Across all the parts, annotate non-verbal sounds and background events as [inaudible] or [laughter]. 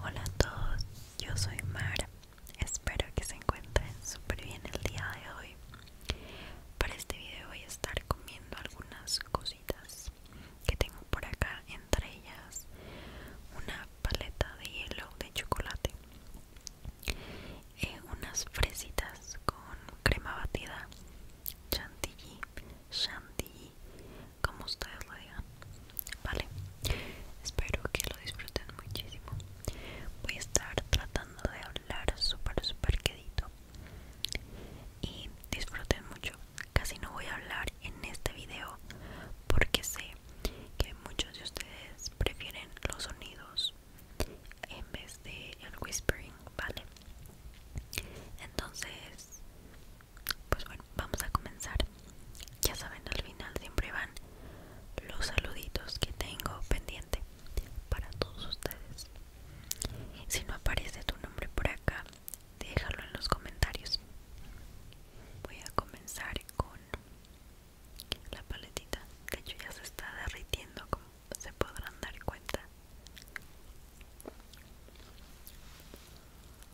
Hola a todos, yo soy Mara. Espero que se encuentren súper bien el día de hoy. Para este video voy a estar comiendo algunas cositas que tengo por acá, entre ellas una paleta de hielo de chocolate, eh, unas fresitas con crema batida, chantilly, chantilly como ustedes lo digan vale espero que lo disfruten muchísimo voy a estar tratando de hablar súper súper quedito y disfruten mucho casi no voy a hablar en este video porque sé que muchos de ustedes prefieren los sonidos en vez de el whispering vale entonces pues bueno, vamos a comenzar. Ya saben, al final siempre van los saluditos que tengo pendiente para todos ustedes. Si no aparece tu nombre por acá, déjalo en los comentarios. Voy a comenzar con la paletita. De hecho, ya se está derritiendo, como se podrán dar cuenta.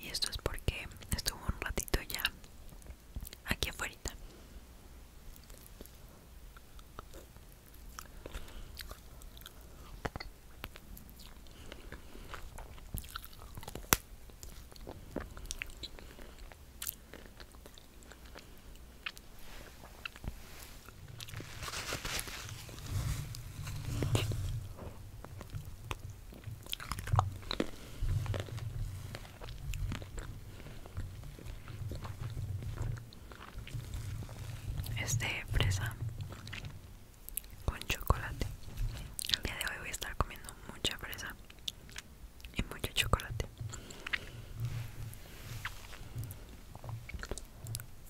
Y esto es porque estuvo un ratito ya aquí afuera. Este fresa con chocolate. El día de hoy voy a estar comiendo mucha fresa y mucho chocolate.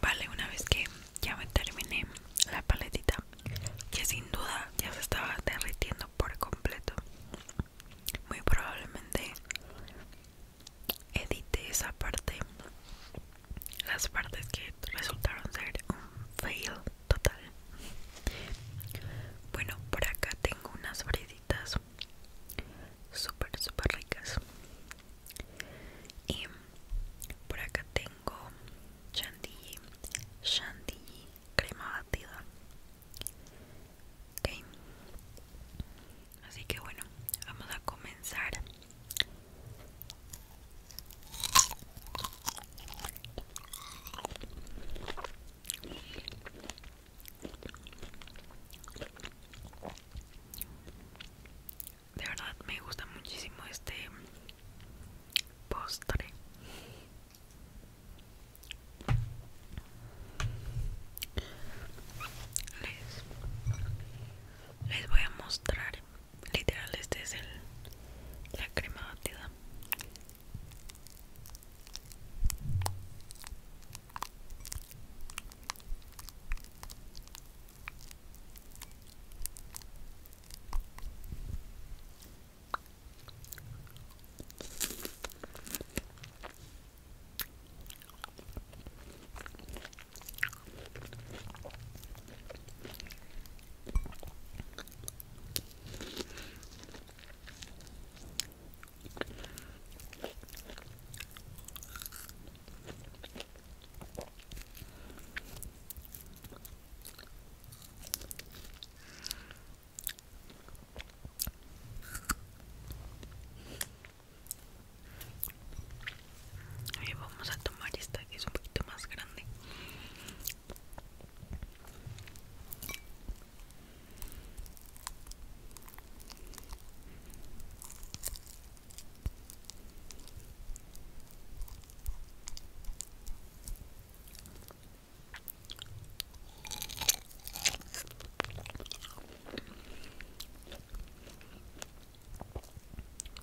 Vale, una vez que ya me terminé la paletita, que sin duda ya se estaba derritiendo por completo, muy probablemente edite esa parte las partes que resultaron ser un fail total bueno por acá tengo unas fresitas super súper ricas y por acá tengo chantilly chantilly crema batida ok así que bueno vamos a comenzar de verdad me gusta muchísimo este postre. Les, les voy a mostrar literal este es el la crema batida vamos a tomar esta que es un poquito más grande.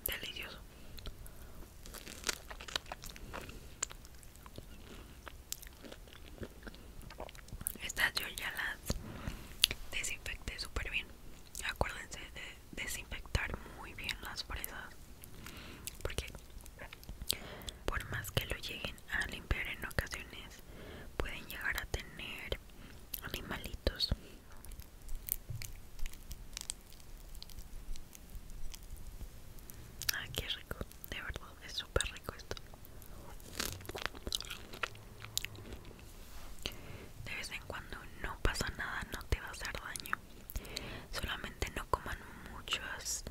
Delicioso. Estas yo ya las desinfecté súper bien. Acuérdense de desinfectar muy bien las fresas. Porque por más que lo lleguen a limpiar en ocasiones, pueden llegar a tener animalitos. Ah, qué rico, de verdad, es super rico esto. De vez en cuando no pasa nada, no te va a hacer daño. Solamente no coman muchas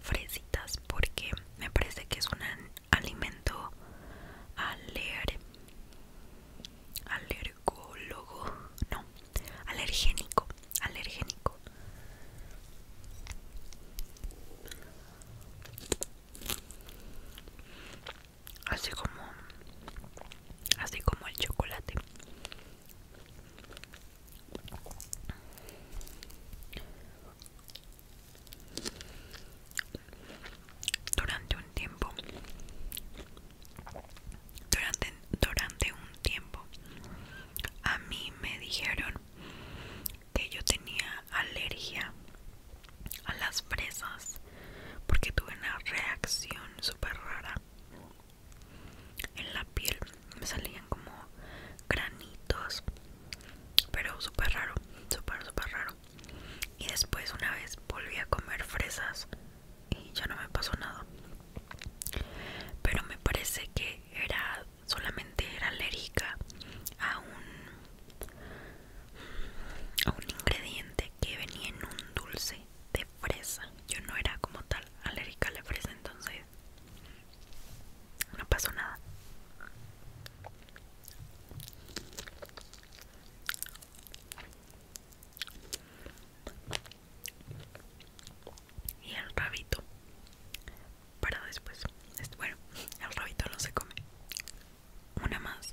fresitas porque me parece que es un alimento al leer no, alergénico, alergénico. Así como así como el chocolate. Durante un tiempo durante, un tiempo a mí me dijeron que yo tenía alergia a las fresas porque tuve una reacción súper rara en la piel me salían como granitos pero súper raro súper súper raro y después una vez volví a comer fresas y ya no me pasó nada pero me parece que era solamente era alérgica a un a un ingrediente que venía en un dulce de fresa yo no era como tal alérgica a la fresa entonces no pasó nada y el rabito para después este, bueno el rabito no se come una más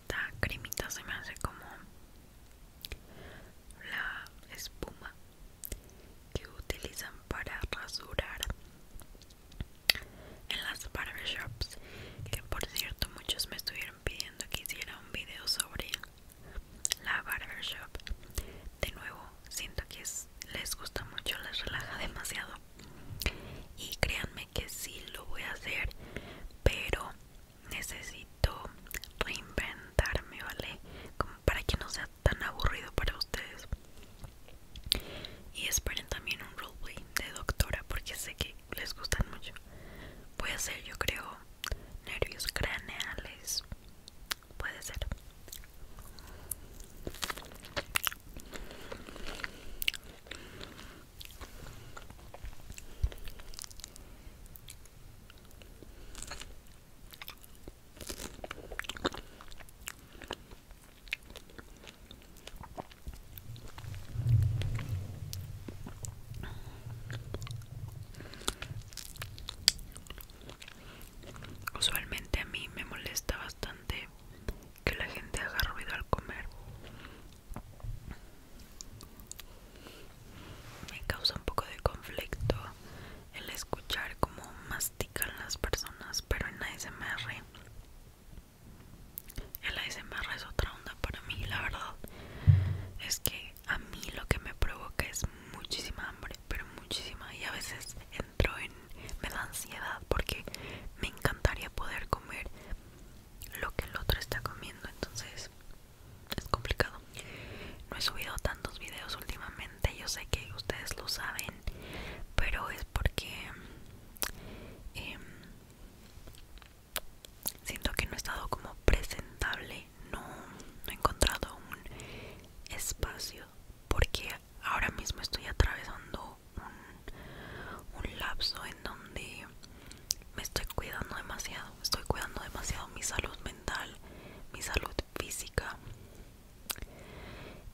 esta cremita se me hace como la espuma que utilizan para rasurar en las barbershops que por cierto muchos me estuvieron pidiendo que hiciera un video sobre la barbershop de nuevo siento que les gusta mucho les relaja demasiado y créanme que sí lo voy a hacer pero necesito reinventarme, ¿vale? Como para que no sea tan aburrido para ustedes. Y esperen también un roleplay de doctora porque sé que les gustan mucho. puede ser yo creo, nervios craneales. Puede ser. Usualmente a mí me molesta bastante que la gente haga ruido al comer me causa un poco de conflicto el escuchar cómo mastican las personas, pero en ASMR. El ASMR es otra onda para mí, la verdad. Es que a mí lo que me provoca es muchísima hambre, pero muchísima. Y a veces entro en... me da ansiedad porque me encantaría poder comer lo que el otro está comiendo entonces es complicado no he subido tantos videos últimamente yo sé que ustedes lo saben pero es porque em, siento que no he estado como presentable no, he encontrado un espacio porque ahora mismo estoy atravesando un, lapso en donde me estoy cuidando demasiado, estoy cuidando demasiado mi salud mental, mi salud física.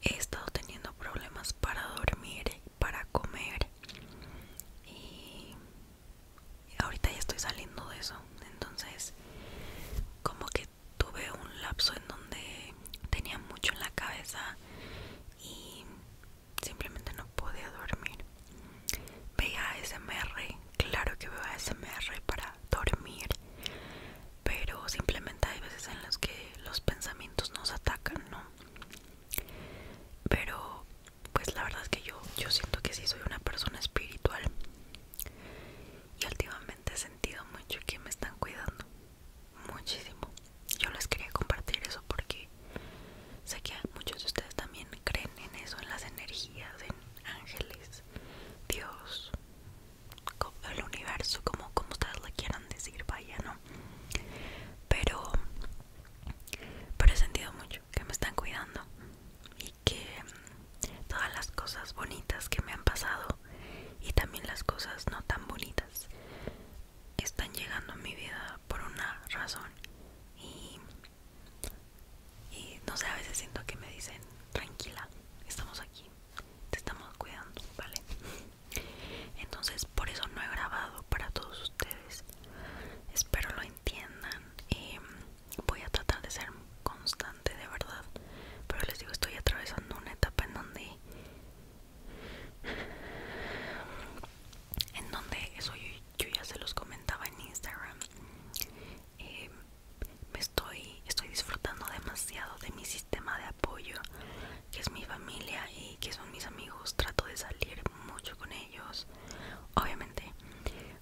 He estado teniendo problemas para dormir, para comer y ahorita ya estoy saliendo de eso. Entonces, como que tuve un lapso en donde tenía mucho en la cabeza y simplemente no podía dormir. Veía SMR, claro que veo SMR para dormir, pero simplemente hay veces en las que los pensamientos nos atacan, ¿no? Pero pues la verdad es que yo, yo siento que sí soy una persona espiritual y últimamente he sentido mucho que me están cuidando muchísimo. Yo les quería compartir eso porque Sé que muchos de ustedes también creen en eso, en las energías, en ángeles, Dios, el universo, como, ustedes lo quieran decir, vaya, ¿no? Pero, pero he sentido mucho que me están cuidando y que mm, todas las cosas bonitas que me han pasado y también las cosas no tan bonitas están llegando a mi vida por una razón y y no sé, a veces siento que me dicen, tranquila, estamos aquí, te estamos cuidando, ¿vale? Entonces por eso no he grabado para todos ustedes. Espero lo entiendan y em, voy a tratar de ser constante de verdad. Pero les digo, estoy atravesando una etapa en donde... En donde soy yo ya se los comentaba en Instagram eh, me estoy estoy disfrutando demasiado de mi sistema de apoyo que es mi familia y que son mis amigos trato de salir mucho con ellos obviamente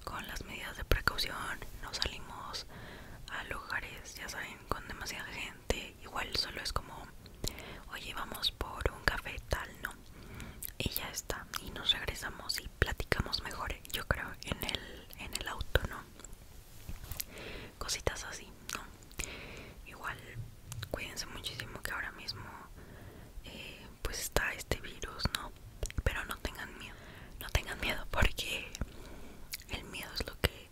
con las medidas de precaución no salimos a lugares ya saben con demasiada gente igual solo es como oye vamos por un café tal no y ya está y nos regresamos y platicamos mejor yo creo en el en el auto no cositas así no igual cuídense muchísimo que ahora mismo eh, pues está este virus no pero no tengan miedo no tengan miedo porque el miedo es lo que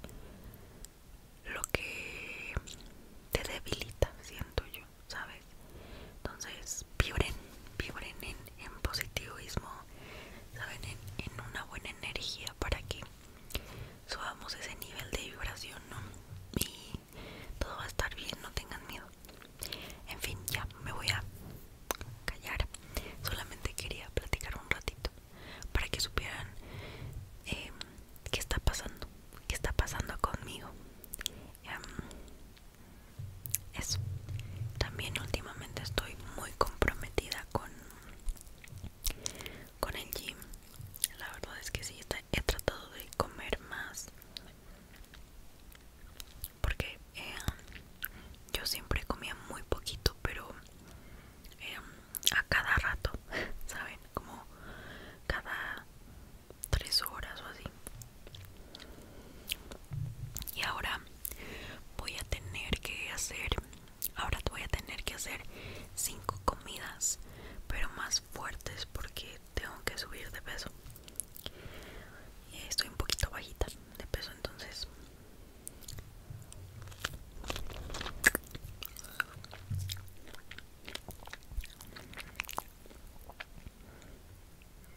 lo que te debilita siento yo ¿sabes? Entonces, vibren, vibren en, positivismo, ¿saben? En, una buena energía para que subamos ese nivel de vibración, ¿no? Y todo va a estar bien, no tengan miedo. En fin, ya me voy a callar. Solamente quería platicar un ratito para que supieran em, qué está pasando, qué está pasando conmigo. Em, eso. También últimamente estoy muy comprometida con con el gym. La verdad es que sí he tratado de comer más. Porque eh, yo siempre comía muy poquito, pero eh, a cada rato, [laughs] ¿saben? Como cada tres horas o así y ahora voy a tener que hacer ahora voy a tener que hacer cinco comidas pero más fuertes porque tengo que subir de peso Y estoy un poquito bajita de peso entonces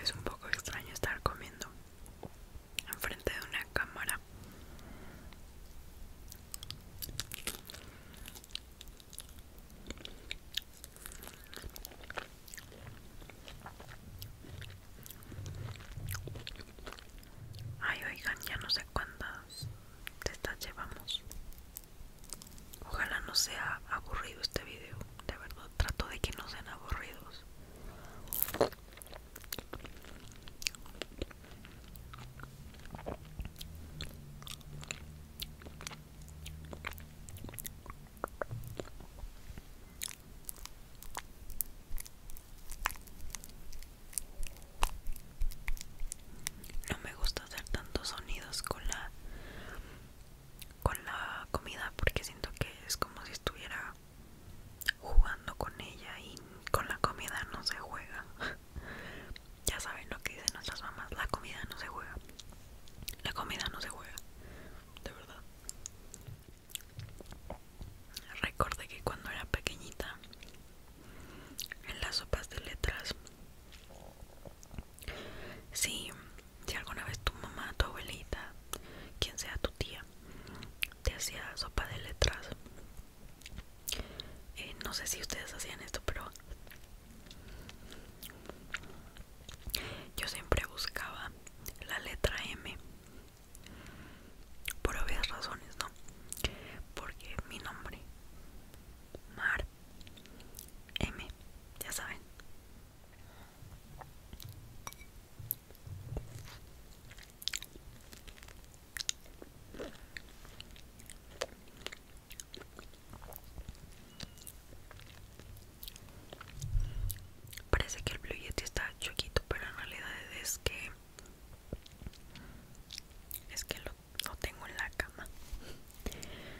Es un poco extraño estar comiendo enfrente de una cámara. Ay, oigan, ya no sé cuando te de llevamos. Ojalá no sea aburrido este video. De verdad, trato de que no sean aburridos. No me gusta hacer tantos sonidos con la con la comida porque siento que es como si estuviera jugando con ella y con la comida no se juega. [laughs] ya saben lo que dicen nuestras mamás, la comida no se juega. La comida no se juega. De verdad. Recordé que cuando era pequeñita en las sopas de letras. Si, si alguna vez tu mamá, tu abuelita, quien sea tu tía, te hacía sopa de letras, eh, no sé si ustedes hacían esto, pero yo siempre buscaba la letra M por obvias razones, ¿no? Porque mi nombre Mar M, ya saben. Parece que el Blue Yeti está chiquito, pero en realidad es que es que lo lo tengo en la cama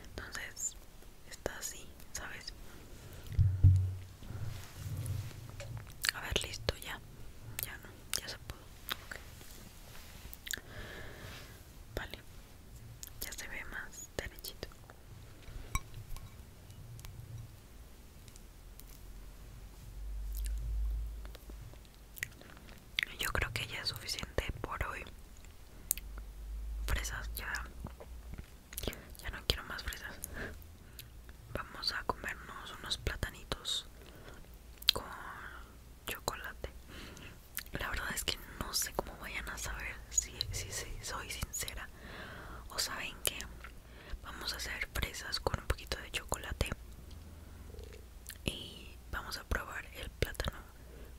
entonces está así sabes a ver listo ya ya no ya se pudo vale ya se ve más derechito yo creo que ya es suficiente por hoy. Fresas, ya. Ya no quiero más fresas. Vamos a comernos unos platanitos con chocolate. La verdad es que no sé cómo vayan a saber si, soy sincera. O saben que vamos a hacer fresas con un poquito de chocolate y vamos a probar el plátano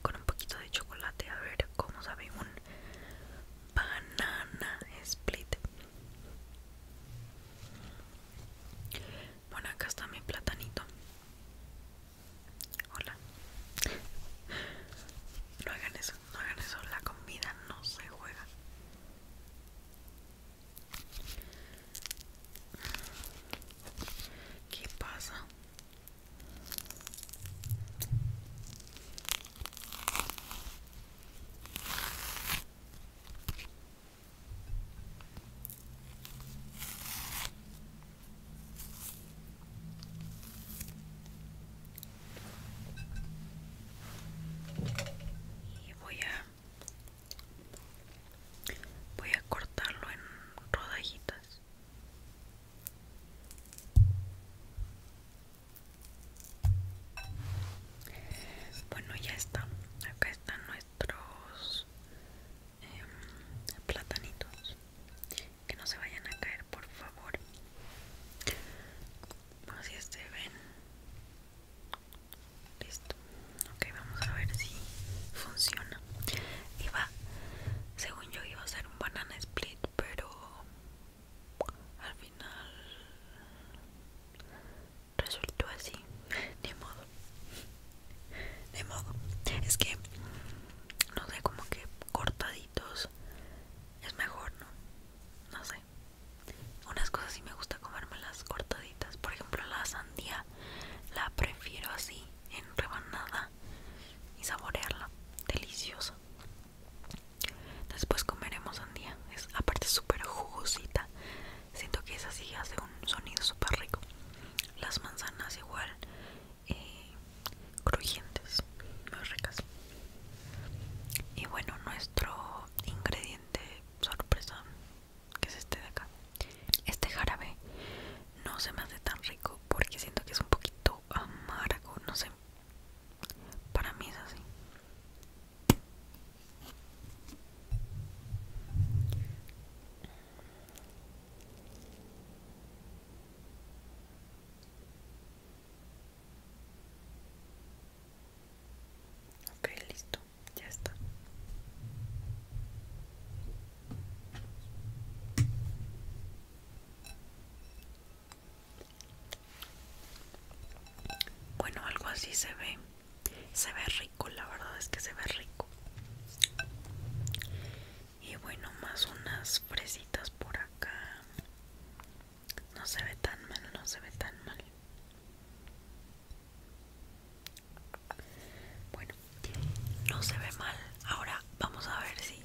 con un poquito de chocolate a ver cómo sabe un banana split bueno acá está mi platanito hola no hagan eso no hagan eso la comida no se juega que passa e vou a voy a cortarlo en rodajitas bueno ya está acá están nuestros em, platanitos que no se vayan a caer por favor así se ven listo Ok, vamos a ver si funciona. Iba, según yo iba a ser un banana split, pero al final resultó así. De modo. De modo. Es que, no sé, como que cortaditos es mejor, ¿no? No sé. Unas cosas sí me gusta comérmelas cortaditas. Por ejemplo, la sandía la prefiero así, en rebanada y saborearla. Deliciosa. Después comeremos sandía. Es aparte súper jugosita. Siento que esa sí hace un sonido súper rico. Las manzanas igual eh, crujientes, muy ricas. Y bueno, nuestro ingrediente sorpresa que es este de acá este jarabe no se me hace tan rico porque siento que es un poquito amargo no sé para mí es así Ok, listo, ya está. Bueno, algo así se ve. Se ve rico, la verdad es que se ve rico. Y bueno, más unas fresitas por acá. No se ve tan mal, no se ve tan mal. Bueno, no se ve mal. Ahora vamos a ver si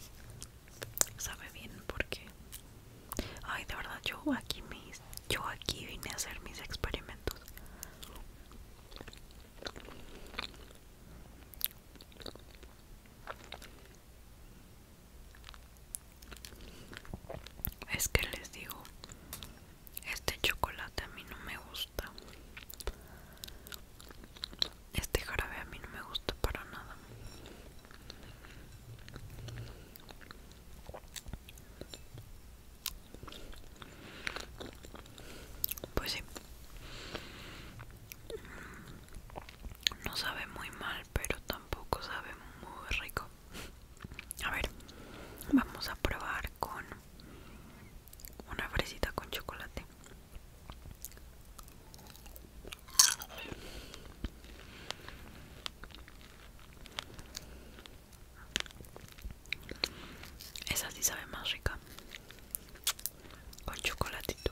sabe bien porque... Ay, de verdad, yo aquí, mis, yo aquí vine a hacer mis experimentos. Es que les digo, este chocolate a mí no me gusta. Este jarabe a mí no me gusta para nada. Pues sí. No sabe muy mal, pero tampoco sabe muy rico. A ver, vamos a probar con una fresita con chocolate. Este. Esa sí sabe más rica. Con chocolatito.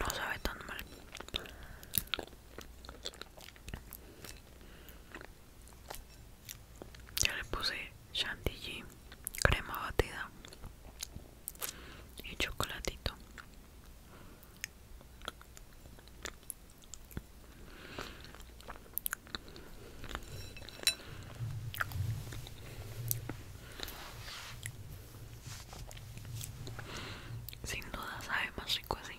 No sabe tan mal. Ya le puse chantilly, crema batida y chocolatito. Sin duda sabe más rico así,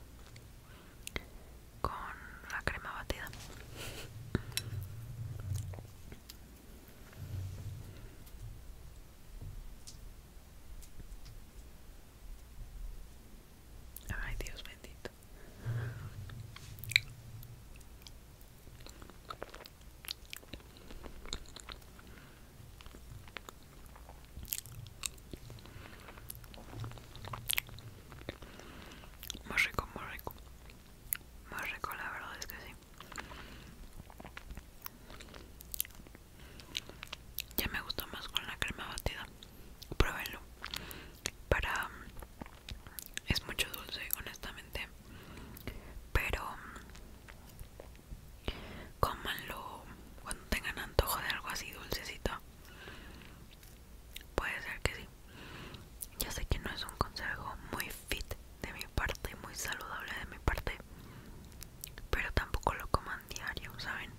con la crema batida. Ay, Dios bendito. Muy rico, muy rico. Más rico, la verdad es que sí. Ya me gustó más con la crema batida. Pruébenlo. Para... Es mucho dulce, honestamente. Pero Cómanlo cuando tengan antojo de algo así dulcecito. Puede ser que sí. Ya sé que no es un consejo muy fit de mi parte, muy saludable de mi parte, pero tampoco lo coman diario, ¿saben?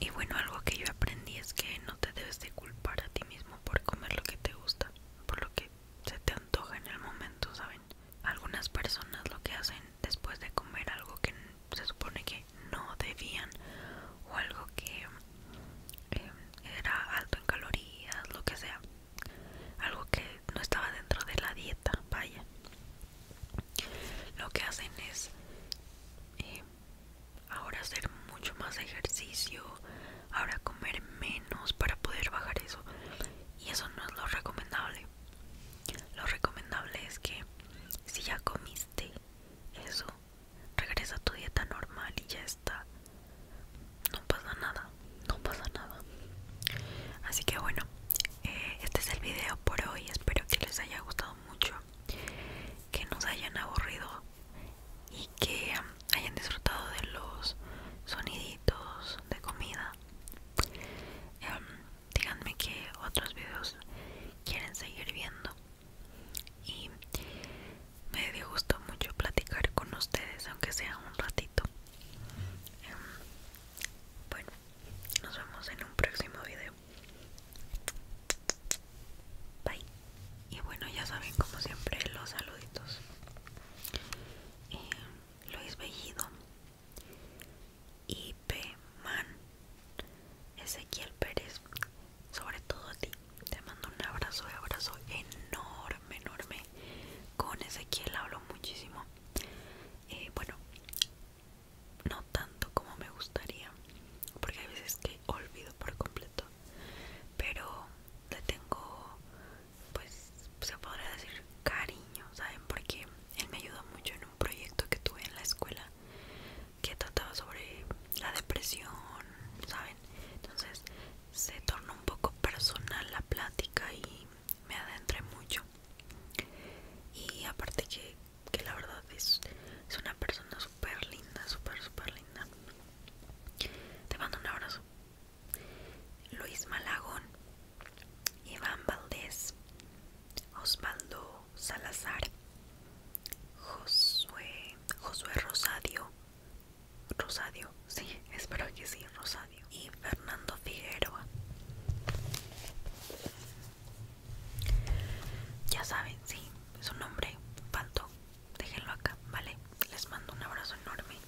Y bueno, algo que yo aprendí es que no te debes de culpar a ti mismo por comer lo que te gusta, por lo que se te antoja en el momento, ¿saben? algunas personas lo que hacen después de comer algo que se supone que no debían o algo que em, era alto en calorías, lo que sea, algo que no estaba dentro de la dieta, vaya. Lo que hacen es em, ahora hacer mucho más ejercicio, ahora comer menos para poder bajar eso y eso no es lo recomendable lo recomendable es que si ya comiste eso regresa a tu dieta normal y ya está no pasa nada no pasa nada así que bueno eh, este es el video por hoy espero que les haya gustado mucho que nos hayan aburrido y que um, hayan disfrutado de los soniditos de comida Em, díganme que otros videos quieren seguir viendo y me dio gusto mucho platicar con ustedes aunque sea un ratito em, bueno nos vemos en un próximo video bye y bueno ya saben como siempre los saluditos Y. Em, Luis Bellido, Ipe Man, Ezequiel Pérez, sobre todo a ti. Te mando un abrazo de abrazo enorme, enorme. Con Ezequiel hablo muchísimo. Eh, bueno, no tanto como me gustaría, porque hay veces que olvido por completo, pero le tengo pues se podría decir cariño, ¿saben? Porque él me ayudó mucho en un proyecto que tuve en la escuela que trataba sobre la depresión, ¿saben? Entonces se tornó un poco personal la plática y me adentré mucho. Y aparte que, la verdad es, es una persona súper linda, súper, súper linda. Te mando un abrazo. Luis Malagón, Iván Valdés, Osvaldo Salazar, Josué, Josué Rosadio, Rosadio, sí, [laughs] espero que sí, Rosadio, y Fernando Figueroa. Ya saben, sí, su nombre Panto, Déjenlo acá, ¿vale? Les mando un abrazo enorme.